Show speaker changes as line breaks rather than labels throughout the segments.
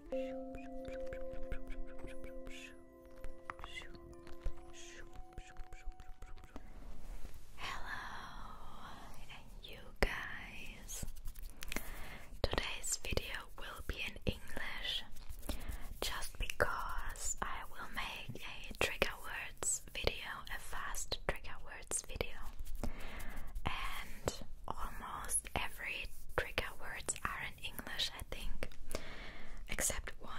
Hello, you guys. Today's video will be in English just because I will make a trigger words video, a fast trigger words video, and almost every trigger words are in English, I think, except one.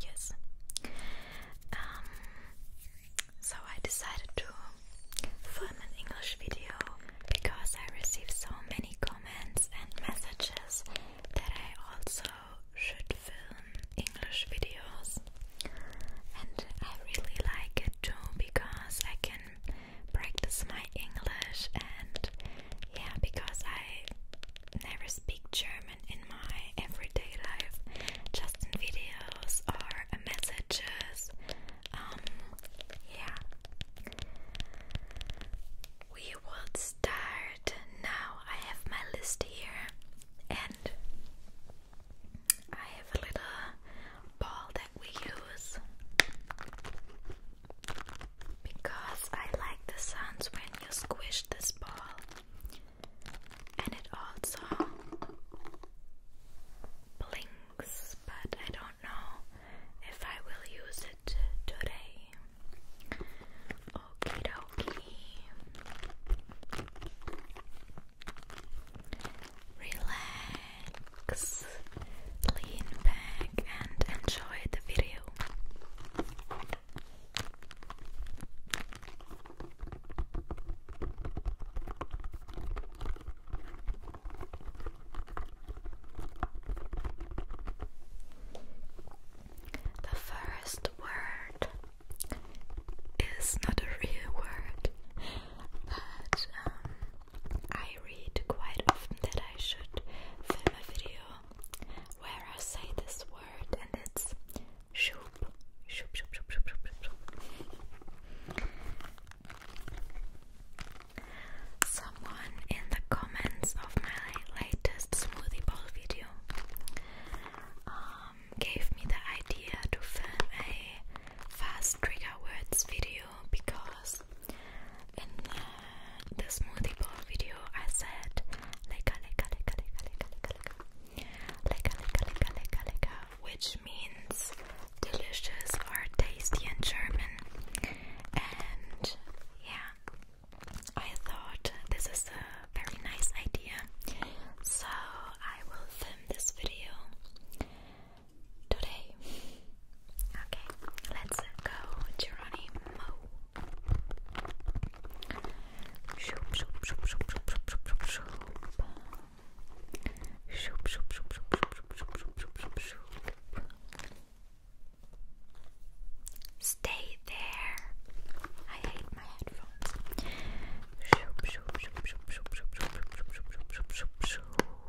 Yes. Um, so I decided to film an English video because I received so many comments and messages that I also should film English videos. And I really like it too because I can practice my English and yeah, because I never speak German in my everyday life, just in videos or messages. Um, yeah. We will start now. I have my list here and I have a little ball that we use because I like the sounds when you squish this ball, and it also blinks, but I don't know if I will use it today. Okie dokie relax, lean back, and enjoy the video. The first word is not a real word, but um, I read quite often that I should film a video where I say this word and it's shoop. Shoop, shoop, shoop, shoop, shoop, shoop. Someone in the comments of my latest smoothie bowl video um, gave me the idea to film a fast trigger words video because in uh, the smoothie bowl video I said leka leka leka leka leka leka leka leka leka leka leka which means delicious or tasty in German and yeah I thought this is a very nice idea so I will film this video today. Okay, let's go,
Geronimo. Shoop, shoop, shoop, shoop, shoop, shoop, shoop, shoop. Shoop, shoop, shoop, shoop, shoop, shoop, shoop, shoop, shoop, shoop. Stay there. I hate my headphones. Shoop, shoop, shoop, shoop, shoop, shoop, shoop, shoop, shoop, shoop, shoop, shoop, shoop.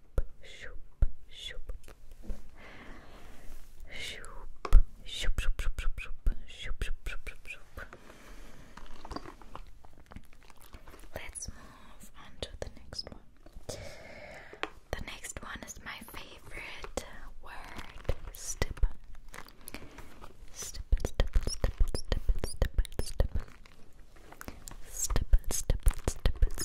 shoop, shoop, shoop, shoop, shoop, shoop, shoop, shoop, shoop, shoop, shoop.
Let's move on to the next one. The next one is my favorite word, stip. Stip, stip, stip, stip, stip, stip. Stipple, stipple, stipple,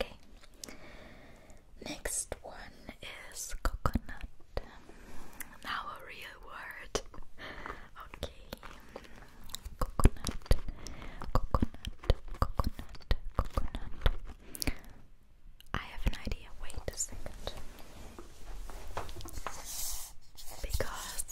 Okay. Next one is coconut. Now a real word. Okay. Coconut. Coconut. Coconut. Coconut. I have an idea. Wait a second. Because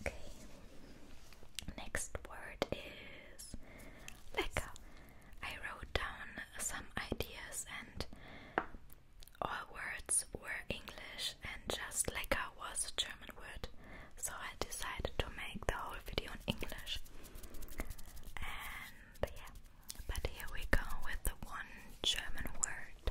Okay. Next word is lecker. I wrote down some ideas and all uh, words were English and just lecker was a German word. So I decided to make the whole video in English. And yeah, but here we go with the one German word.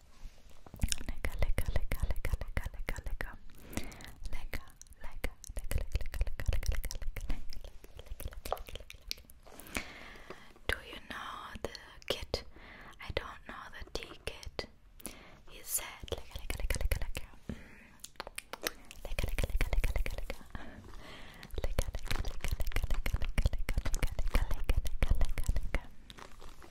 Lega, lega, lega, lega, lega, lega, lega. Lega, lega, lega, lega, lega, lega, lega, lega, lega, lega. Do you know the kid? I don't know the D kid. He said, lega, lega, lega, lega, lega. Lega, lega, lega, lega, lega, lega. Lega, lega, lega, lega, lega, lega, lega, lega, lega, lega, lega, lega.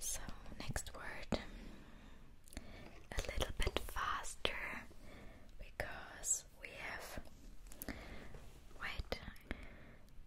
So, next word a little bit faster because we have. Wait,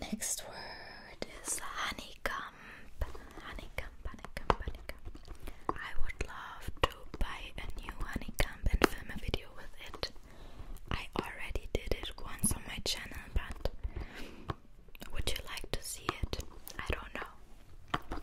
Next word is honeycomb. Honeycomb, honeycomb, honeycomb. I would love to buy a new honeycomb and film a video with it. I already did it once on my channel, but would you like to see it? I don't know.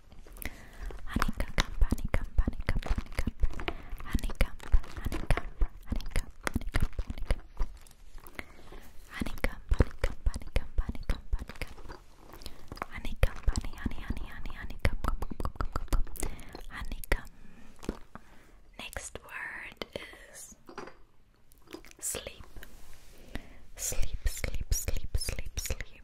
Honeycomb, honeycomb, honeycomb, honeycomb, honeycomb, honeycomb, honeycomb, honeycomb, honeycomb. Honeycomb, honeycomb, honeycomb, honeycomb, honeycomb. Honeycomb, honey, honey, honey, honey, honeycomb, honeycomb. Next word is sleep. Sleep, sleep, sleep, sleep, sleep.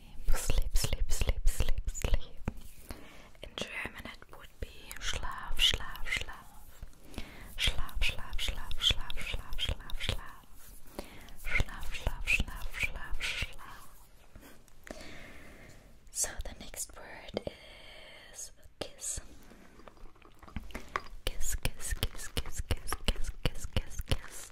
sleep, sleep, sleep, sleep, sleep. In German it would be Schlaf, Schlaf, Schlaf. Schlaf, Schlaf, Schlaf, Schlaf, Schlaf, Schlaf, Schlaf. Schlaf, Schlaf, Schlaf, Schlaf, Schlaf. So the next word is kiss. Kiss, kiss, kiss, kiss, kiss, kiss, kiss, kiss, kiss.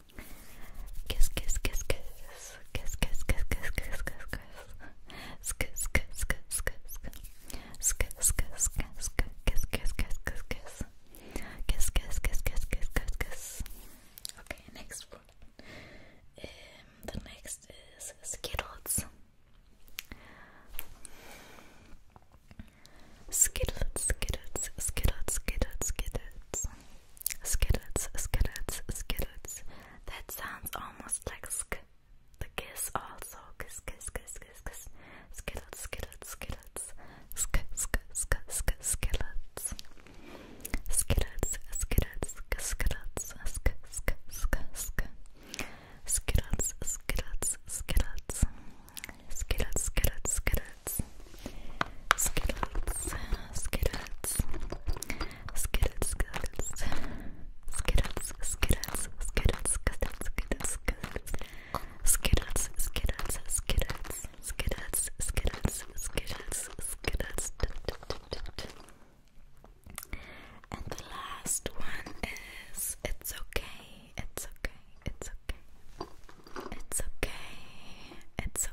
Kiss, kiss, kiss, kiss. Kiss, kiss, kiss, kiss, kiss, kiss, kiss. Kiss, kiss, kiss, kiss, kiss. Kiss, kiss, kiss, kiss, kiss, kiss, kiss, kiss. Kiss, kiss, kiss, kiss, kiss, kiss, kiss. Okay, next one. Um, the next is Skittles. Skittles, Skittles, Skittles, Skittles, Skittles. Skittles, skittles, skittles. That sounds almost like sk. The kiss also. Kiss, kiss, kiss, kiss, kiss. Skittles, skittles, skittles. Sk, sk, sk, sk, skittles. Skittles, skittles, skittles. Sk, sk, sk, sk. Skittles, skittles, skittles. Skittles, skittles, skittles. Skittles, Skittles, Skittles, Skittles, Skittles, Skittles, Skittles, Skittles, Skittles, Skittles, Skittles, Skittles, Skittles, Skittles, Skittles, and the last one is it's okay, it's okay, it's okay, it's okay, it's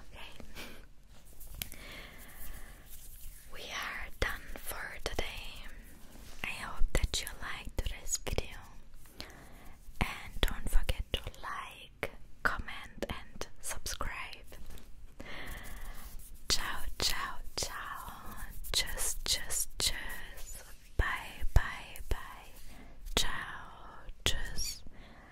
Okay. We are done for today. I hope that you liked today's video. And don't forget to like, comment, and subscribe. Ciao, ciao, ciao. Tschüss, tschüss, tschüss. Bye, bye, bye. Ciao, tschüss.